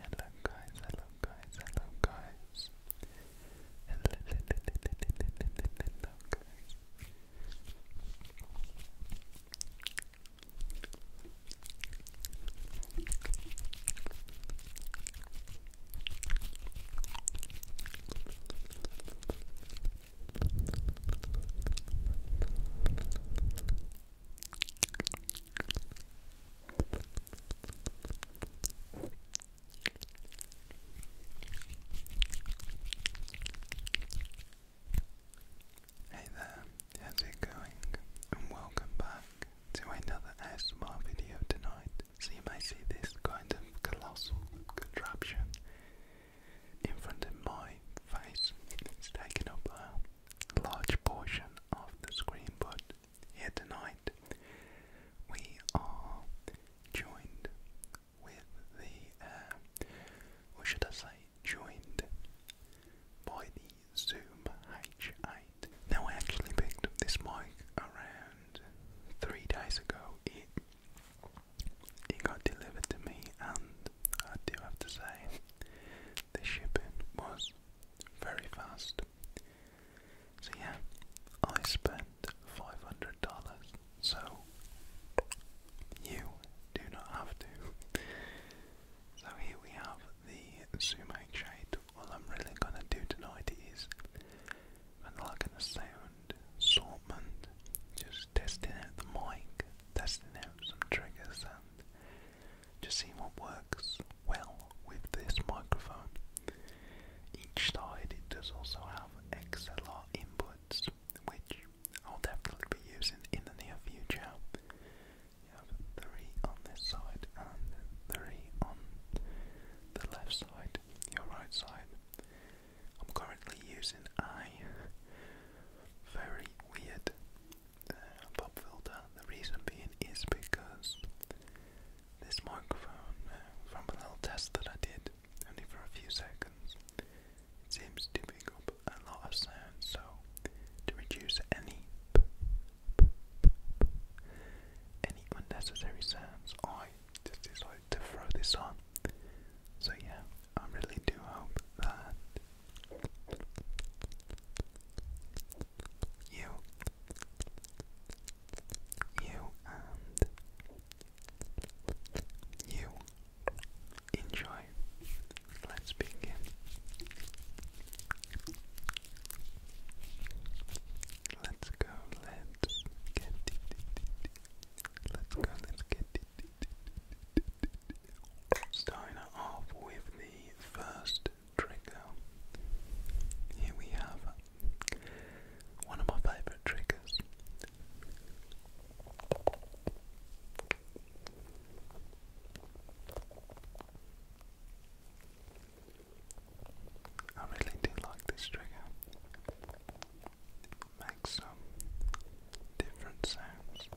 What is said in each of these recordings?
Hello guys, hello guys, hello guys. Hello, hello, hello, hello, hello, hello guys. Hey there, how's it going? And welcome back to another ASMR video tonight. So you may see this kind of colossal contraption in front of my face. It's taking up a large portion of the screen, but here tonight, we are joined with the, uh, should I say, joined by the Zoom H8. Now, I actually picked up this mic around three days ago. It it got delivered to me, and I do have to say the shipping was very fast. So yeah, I spent five hundred dollars. So you do not have to. So here we have the sumac shade. All I'm really gonna do tonight is I'm not gonna sound assortment, just testing out the mic, testing out some triggers and to see what works well with this microphone. Each side it does also have XLR inputs, which I'll definitely be using in the near future. You have three on this side and three on the left side, your right side. I'm currently using a very weird pop filter. The reason being is because this microphone, uh, from a little test that I did, only for a few seconds, seems to pick up a lot of sound. So to reduce any any unnecessary sounds, I just decided to throw this on. So yeah, I really do hope that you you and you enjoy. Let's begin. Let's go. Let's get it. Let's go. Let's get it. Starting off with the first trigger. Here we have one of my favorite triggers. I really do like this trigger. It makes some different sounds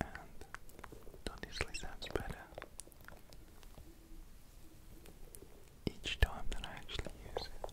and that usually sounds better each time that I actually use it.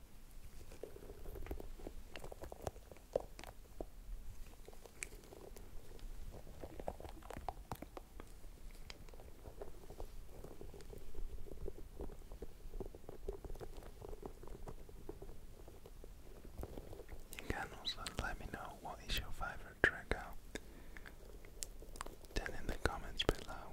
You can also let me know what is your favorite track out. in the comments below.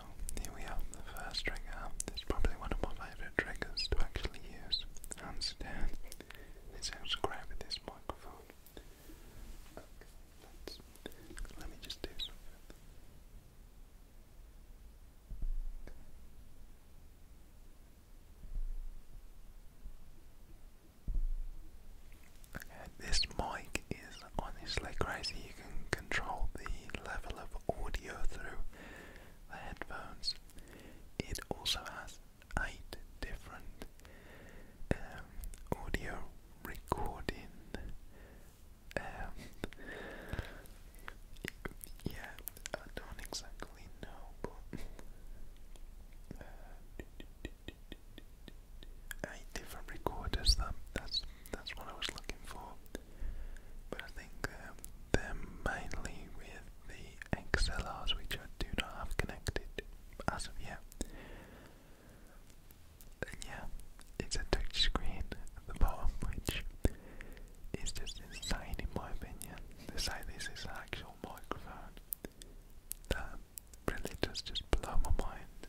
here we have the first trigger. It's probably one of my favourite triggers to actually use. Hands It sounds great with this microphone. let me just do something. Okay, this mic is honestly crazy. You can control the level of audio through the headphones. It also has eight different um, audio recording. Um, yeah, I don't exactly know, but uh, eight different recorders. that's that's what I was looking for. But I think um, mainly with the XLRs, which I do not have connected as of yet. yeah, it's a touch screen at the bottom, which is just insane in my opinion. They say this is an actual microphone. That really does just blow my mind.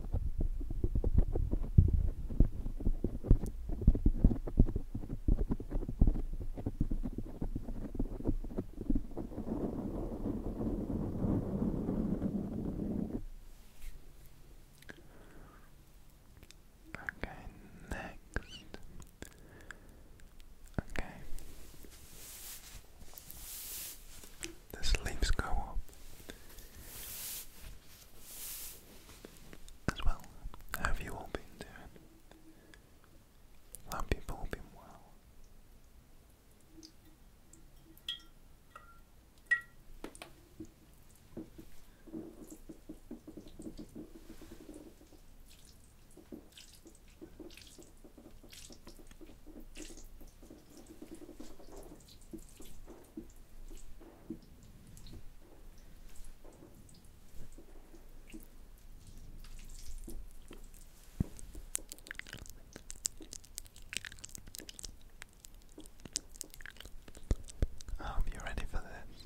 Okay, next. Okay. The sleeves go up as well. have you all been doing? I you all been well. I oh, hope you're ready for this.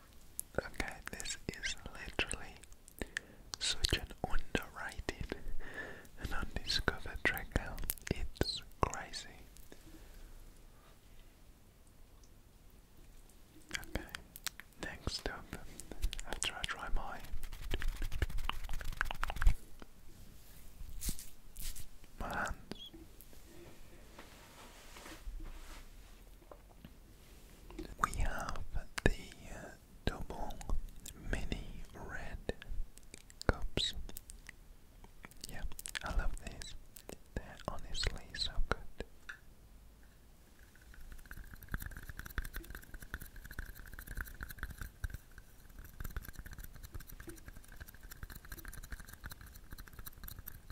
Okay, this is literally such an underrated and undiscovered track It's crazy. Okay, next up, after I try my my hands, we have the uh, double mini red cups. Yeah, I love these. They're honestly so good.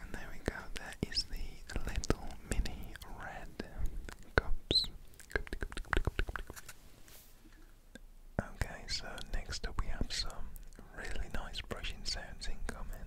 And there we go, there is the little mini red cups. Okay, so next up we have some really nice brushing sounds incoming.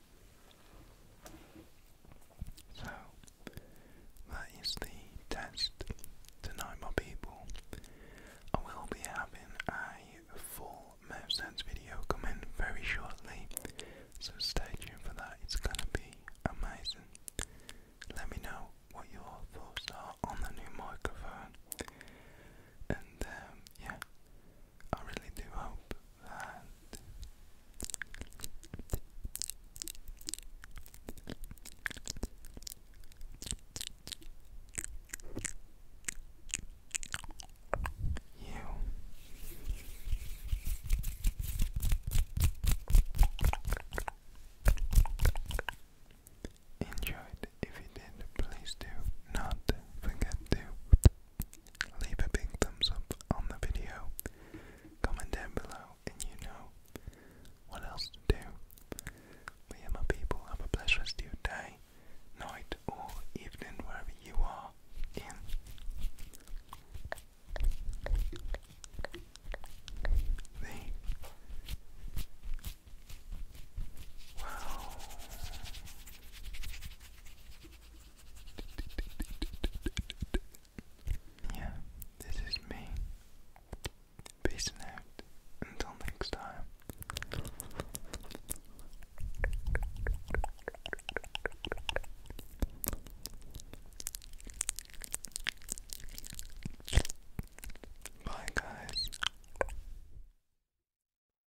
So that is the test tonight, my people. I will be having a full MevSense video coming very shortly, so stay tuned for that. It's gonna be amazing. Let me know what your thoughts are on the new microphone, and um, yeah, I really do hope that you enjoyed. If you did, please do not forget to leave a big thumbs up on the video, comment down below, and you know what else to do. We are my people, have a blessed rest of your day, night, or evening, wherever you are in. wow. Yeah, this is me. Peace out. Until next time. Bye, guys.